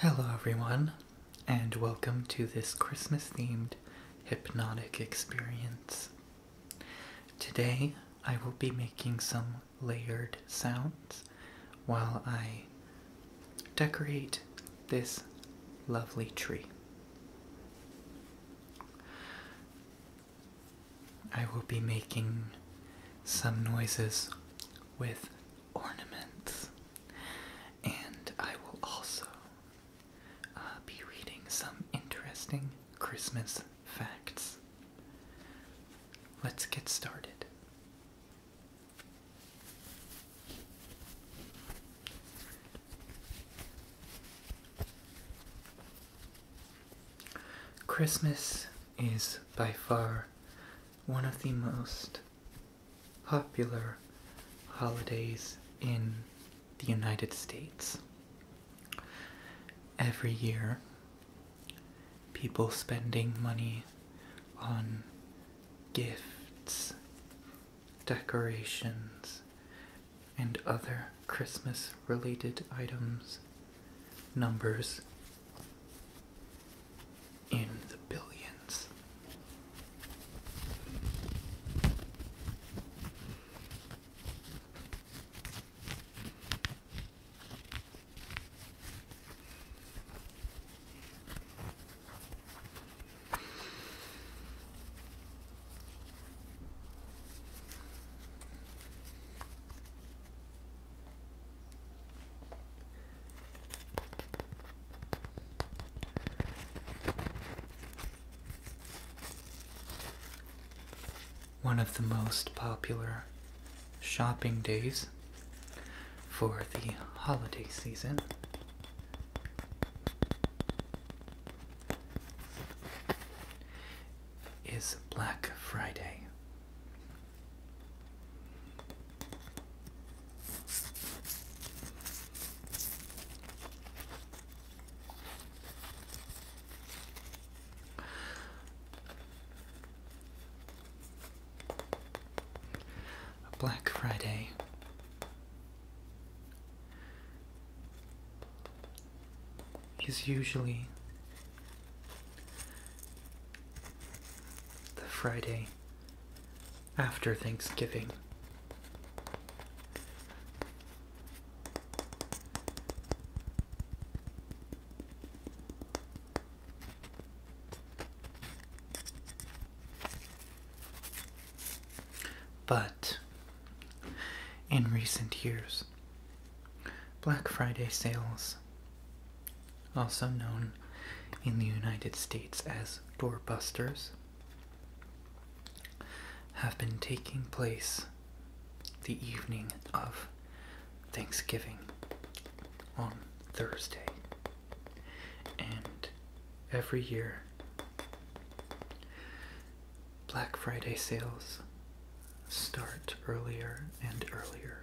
Hello, everyone, and welcome to this Christmas themed hypnotic experience. Today, I will be making some layered sounds while I decorate this lovely tree. I will be making some noises with ornaments, and I will also uh, be reading some interesting Christmas facts. Let's get started. Christmas is by far one of the most popular holidays in the United States. Every year, people spending money on gifts decorations, and other Christmas related items, numbers in the billions. One of the most popular shopping days for the holiday season is Black Friday. Black Friday is usually the Friday after Thanksgiving. But in recent years, Black Friday sales, also known in the United States as doorbusters, have been taking place the evening of Thanksgiving on Thursday. And every year Black Friday sales start earlier and earlier.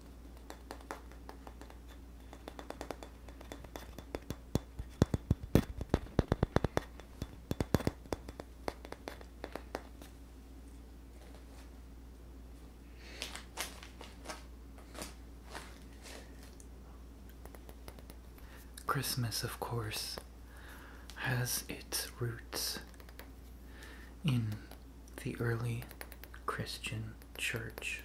Christmas, of course, has its roots in the early Christian church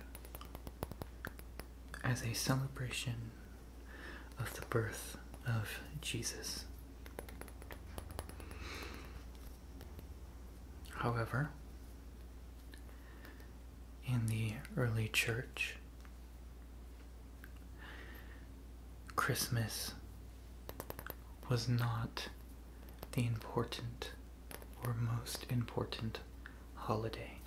as a celebration of the birth of Jesus. However, in the early church, Christmas was not the important or most important holiday.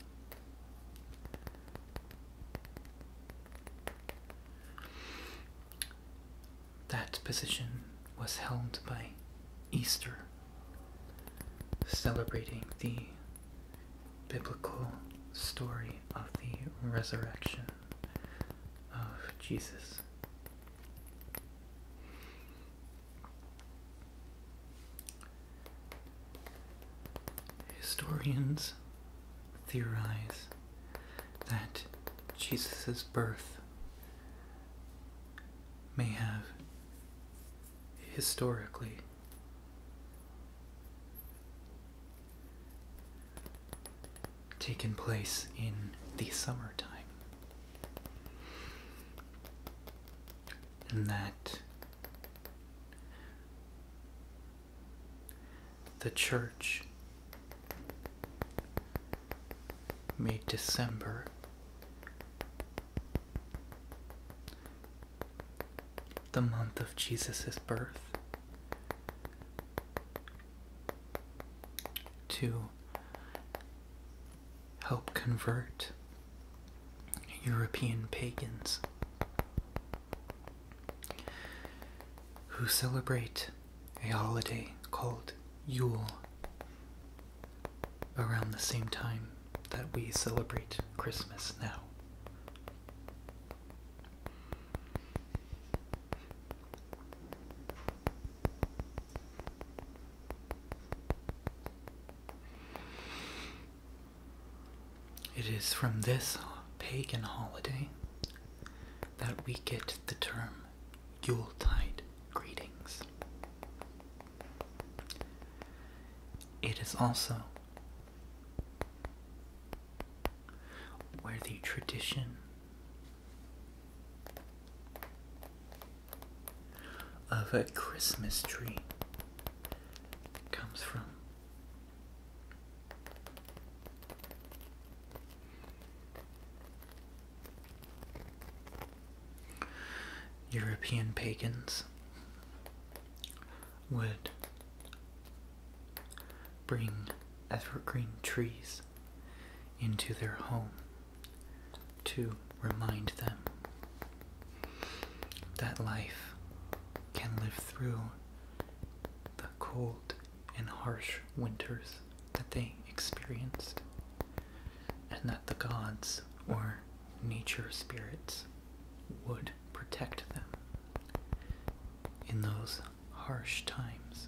That position was held by Easter, celebrating the biblical story of the resurrection of Jesus. Historians theorize that Jesus' birth may have historically taken place in the summertime and that the church made December the month of Jesus' birth to help convert European pagans who celebrate a holiday called Yule around the same time that we celebrate Christmas now. It is from this pagan holiday that we get the term Yule tide greetings. It is also where the tradition of a Christmas tree comes from. European pagans would bring evergreen trees into their home to remind them that life can live through the cold and harsh winters that they experienced, and that the gods or nature spirits would protect them in those harsh times.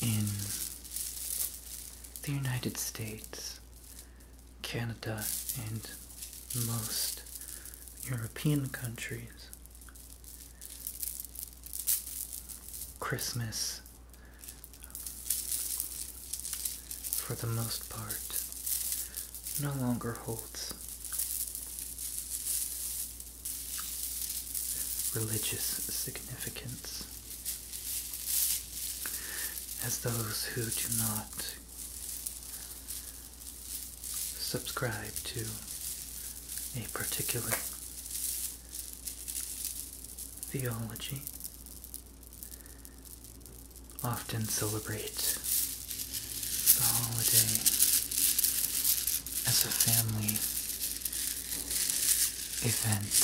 in the United States, Canada, and most European countries, Christmas, for the most part, no longer holds religious significance, as those who do not subscribe to a particular theology often celebrate the holiday as a family event.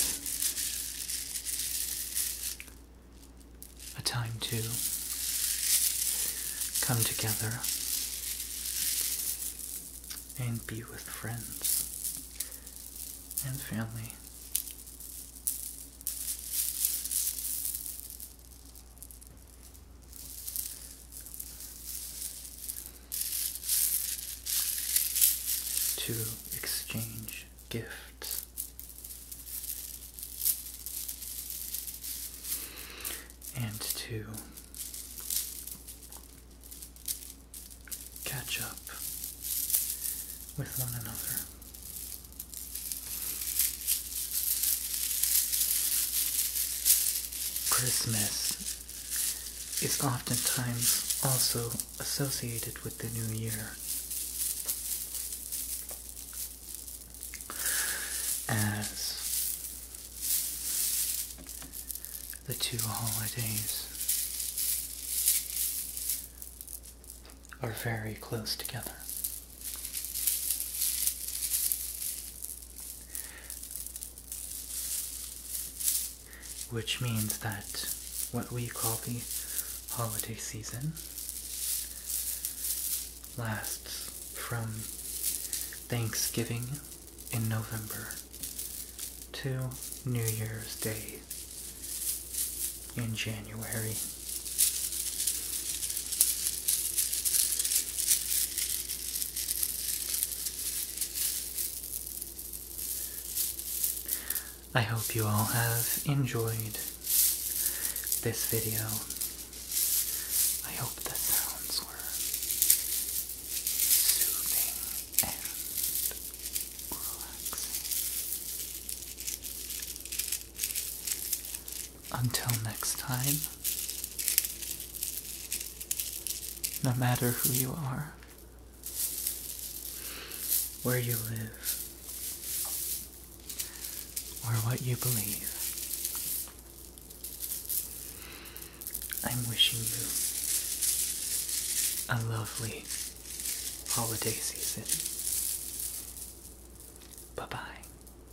A time to come together and be with friends and family to exchange gifts. And to catch up with one another. Christmas is oftentimes also associated with the new year. As the two holidays are very close together. Which means that what we call the holiday season lasts from Thanksgiving in November to New Year's Day in January. I hope you all have enjoyed this video. I hope the sounds were soothing and relaxing. Until next time, no matter who you are, where you live, or what you believe, I'm wishing you a lovely holiday season. Bye bye.